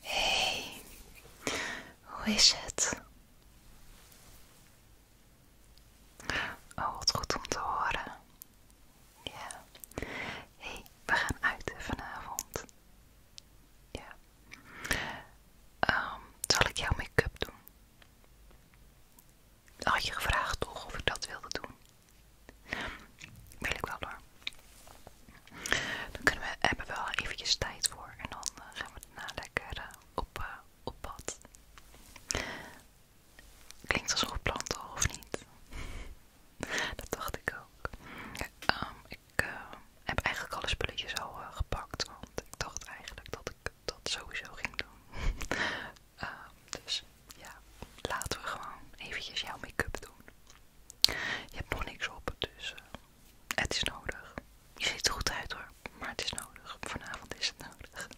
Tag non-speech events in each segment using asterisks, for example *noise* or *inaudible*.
Hey, hoe is het? Oh, wat goed om te horen. Ja. Hey, we gaan uit vanavond. Ja. Ehm, zal ik jouw make-up doen? Had je gevraagd toch of ik dat wilde doen? Wil ik wel hoor. Dan kunnen we, hebben we wel eventjes tijd voor en dan eh, gaan we het lekker eh, op, eh, op pad. Klinkt als een goed plan toch, of niet? *laughs* Dat dacht ik ook. Ehm, ik heb eigenlijk alle spulletjes al gepakt, want ik dacht eigenlijk dat ik dat sowieso ging doen. *laughs* Ehm, dus ja, laten we gewoon eventjes jouw make-up doen. Je hebt nog niks op, dus eh, het is nodig. Je ziet er goed uit hoor, maar het is nodig. Vanavond is het nodig.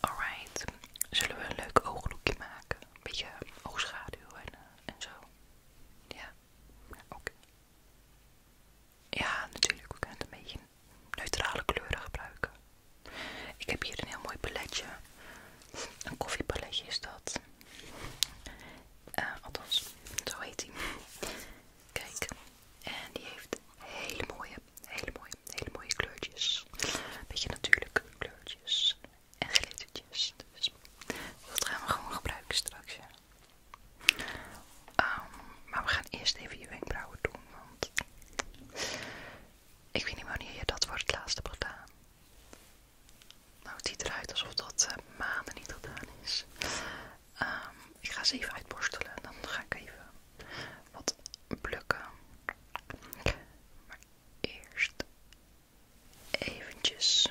Alright, zullen we een leuk ooglookje maken? Een beetje oogschaduw en, eh, zo. Ja, oké. Ja, natuurlijk, we kunnen het een beetje neutrale kleuren gebruiken. Ik heb hier een heel mooi paletje. Een koffiepaletje is dat. Eh, althans, zo heet hij. Kijk, en die heeft hele mooie, hele mooie, hele mooie kleurtjes. Beetje natuurlijke kleurtjes en glittertjes. Dus dat gaan we gewoon gebruiken straks. Ehm, maar we gaan eerst even je wenkbrauwen doen, want ik weet niet wanneer je dat voor het laatst hebt gedaan. Nou, het ziet eruit alsof dat eh, maanden niet gedaan is. Ehm, ik ga ze even uitborstelen. en Dan ga ik even wat plukken. Maar eerst eventjes.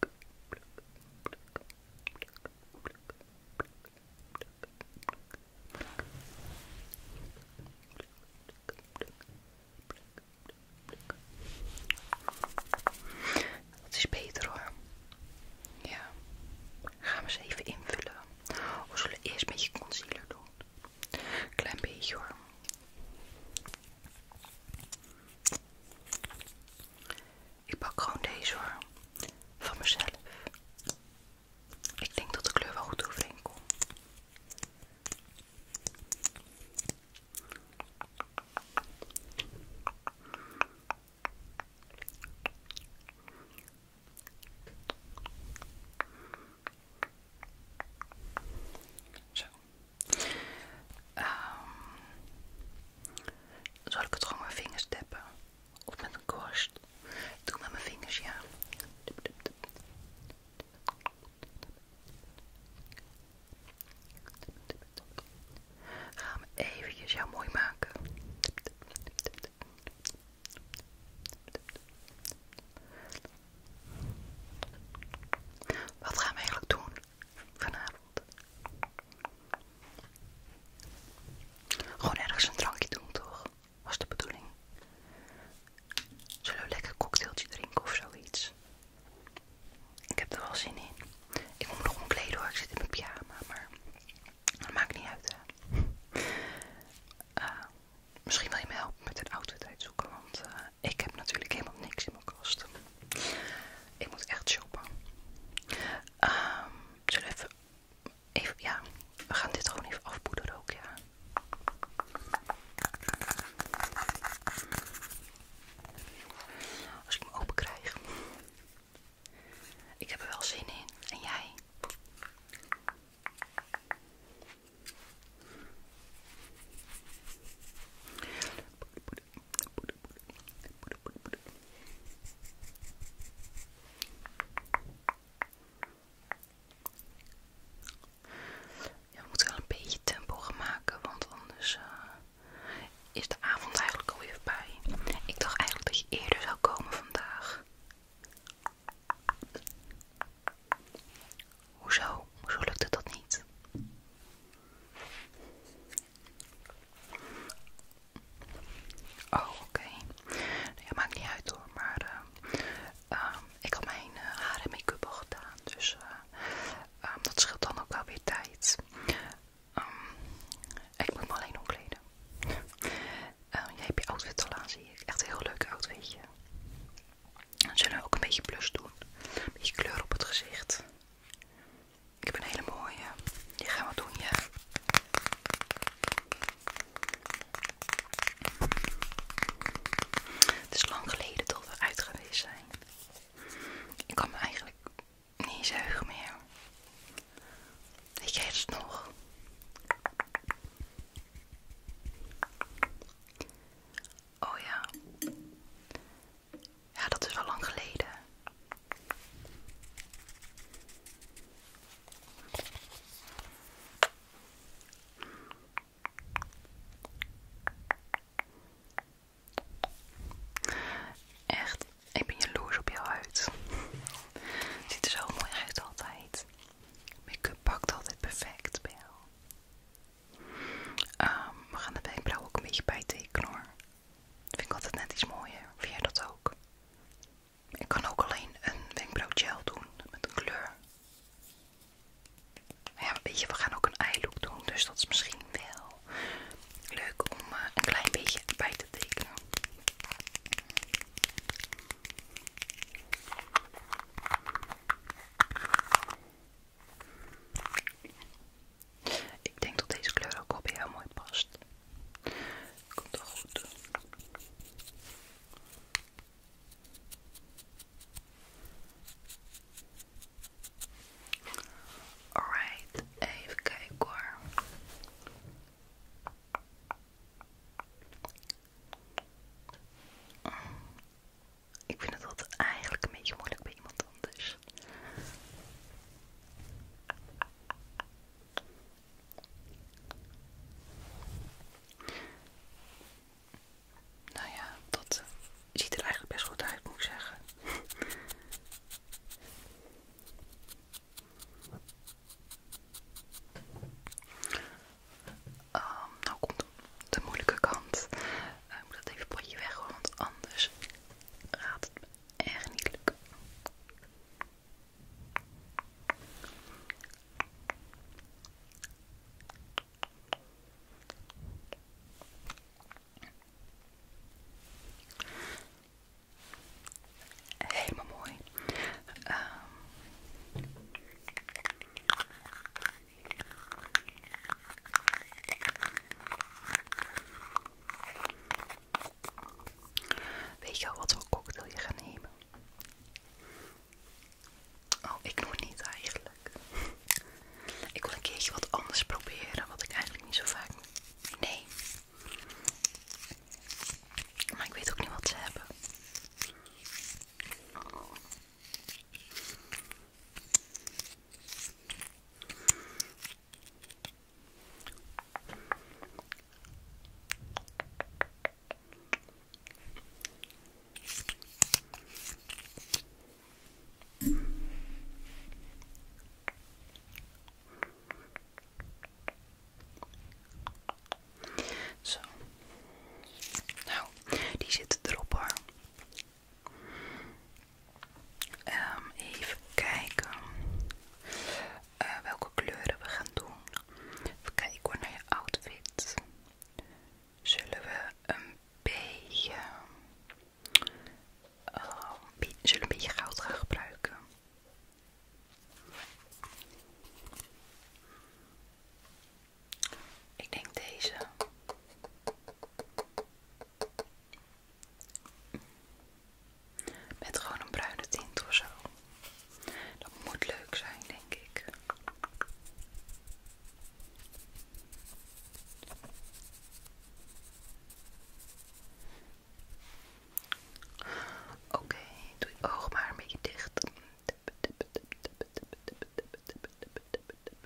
Dat is beter hoor. Ja. Gaan we ze even invullen. We zullen eerst met je concealer doen. Klein beetje hoor. Ik pak gewoon deze hoor. Van mezelf. Ik denk dat de kleur wel goed overeen komt. Ehm, zal ik het gewoon met mijn vingers tappen? Of met een korst? doe met mijn vingers, ja. Ga me eventjes jou mooi maken. Wat gaan we eigenlijk doen? vanavond. Gewoon ergens een drankje doen, toch? Was de bedoeling. Zullen we lekker een cocktailtje drinken of zoiets? Ik heb er wel zin in. Ik moet nog omkleden hoor, ik zit in mijn pyjama, maar dat maakt niet uit hè. Eh, misschien wil je me helpen met een outfit zoeken, want eh, ik heb natuurlijk helemaal niks in mijn kast. Ik moet echt shoppen. Ehm, zullen we even, ja, we gaan dit gewoon even afpoederen ook, ja. Als ik hem open krijg. Ik heb er wel zin in. En jij? we moeten wel een beetje tempo gaan maken, want anders eh, is de avond eigenlijk alweer voorbij. Ik dacht eigenlijk dat je eerder zou komen vandaag. Hoezo? Hoezo lukt het dat niet? Oh, oké. Ja, maakt niet uit hoor, maar eh, ehm, ik had mijn eh, haar en make-up al gedaan, dus eh, ehm, dat scheelt dan ook wel weer tijd. Ehm, ik moet me alleen omkleden. jij hebt je outfit al aan, zie ik. Echt een heel leuk outfitje. Dan zullen we ook een beetje plus doen. Een beetje kleur op het gezicht. Ik heb een hele mooie. Die gaan doen, je. Het is lang geleden dat we uit zijn. Ik kan me eigenlijk niet eens meer. Weet jij het nog? Oh ja. Ja, dat is al lang geleden. Echt, ik ben jaloers op jouw huid. ziet er zo mooi uit altijd. Make-up pakt altijd perfect bij Ehm, we gaan de wenkbrauw ook een beetje bijtekenen hoor. vind ik altijd net iets mooier. Vind jij dat ook? Ik kan ook alleen een wenkbrauwgel doen met een kleur. Ja, weet je, we gaan ook een eye doen, dus dat is misschien wel leuk om eh, een klein beetje bij te tekenen. Ik denk dat deze kleur ook wel jou mooi past. Komt toch goed. Alright, even kijken hoor. Ik vind het altijd eigenlijk een beetje moeilijk bij iemand anders. Nou ja, dat ziet er eigenlijk best goed uit, moet ik zeggen. Ehm, nou komt de moeilijke kant. Eh, ik moet dat even potje weg want anders gaat het me echt niet lukken. Helemaal mooi. Ehm, Weet je al wat voor cocktail je gaat nemen? Oh, ik het niet eigenlijk. *laughs* Ik wil een keertje wat anders proberen, wat ik eigenlijk niet zo vaak neem. Maar ik weet ook niet wat ze hebben. Zo. Nou, die zit erop hoor. Ehm, even kijken eh, welke kleuren we gaan doen. Even kijken naar je outfit. Zullen we een beetje, uh, zullen een beetje goud gaan gebruiken? Ik denk deze. Met gewoon een bruine tint of zo. Dat moet leuk zijn, denk ik. Oké, doe je oog maar een beetje dicht.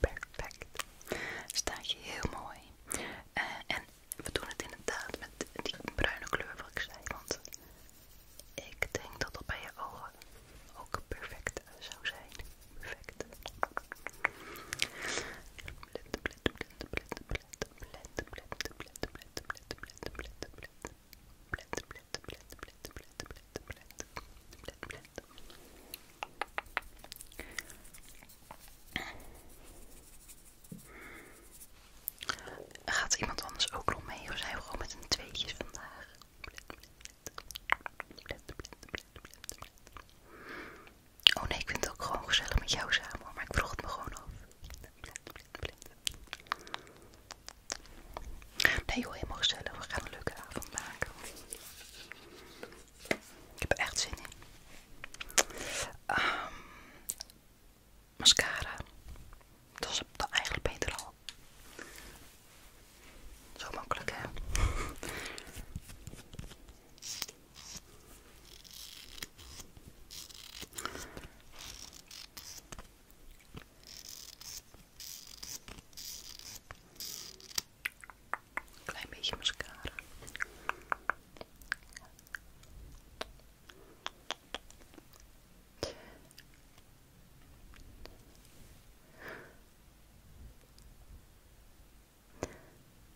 perfect. Staat je heel mooi. Eh, en we doen het inderdaad met die bruine kleur wat ik zei. Want ik denk dat dat bij je ogen ook perfect zou zijn. Perfect. Gaat iemand anders ook nog mee of zijn we gewoon met een tweetjes vandaag? Oh nee, ik vind het ook gewoon gezellig met jou samen, maar ik vroeg het me gewoon af. Nee joh, helemaal gezellig. We gaan een leuke avond maken. Ik heb echt zin in. Ehm, mascara. Dat is eigenlijk beter al. Zo makkelijk, hè? Klein beetje mascara.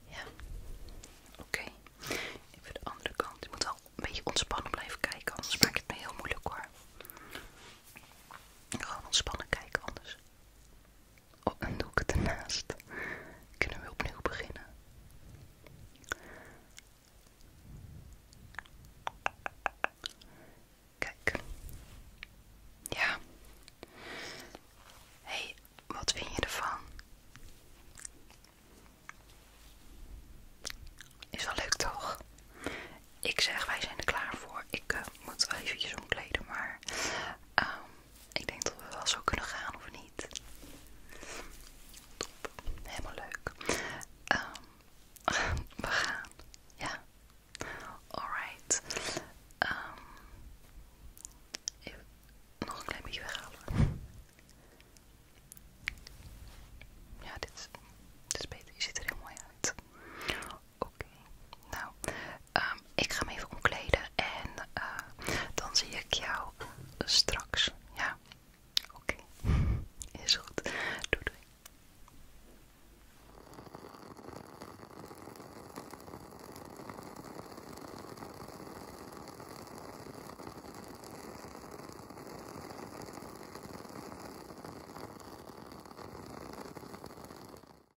Ja, oké. Even de andere kant. Je moet wel een beetje ontspannen blijven kijken, anders maakt het me heel moeilijk hoor. Gewoon ontspannen kijken, anders. Oh, en doe ik ernaast. Kunnen we opnieuw beginnen? Kijk. Ja. hey, wat vind je ervan? Is wel leuk toch? Ik zeg, wij zijn er klaar voor. Ik eh, moet wel eventjes omkleden, maar Ehm ik denk dat we wel zo kunnen gaan of niet. helemaal leuk. Ehm, *laughs* we gaan, ja. Alright. Ehm, nog een klein beetje weghalen. Ja, dit is beter. Je ziet er heel mooi uit. Oké, nou, um, ik ga hem even omkleden en eh, dan zie ik jou straks. Ja, oké, is goed. Doei doei.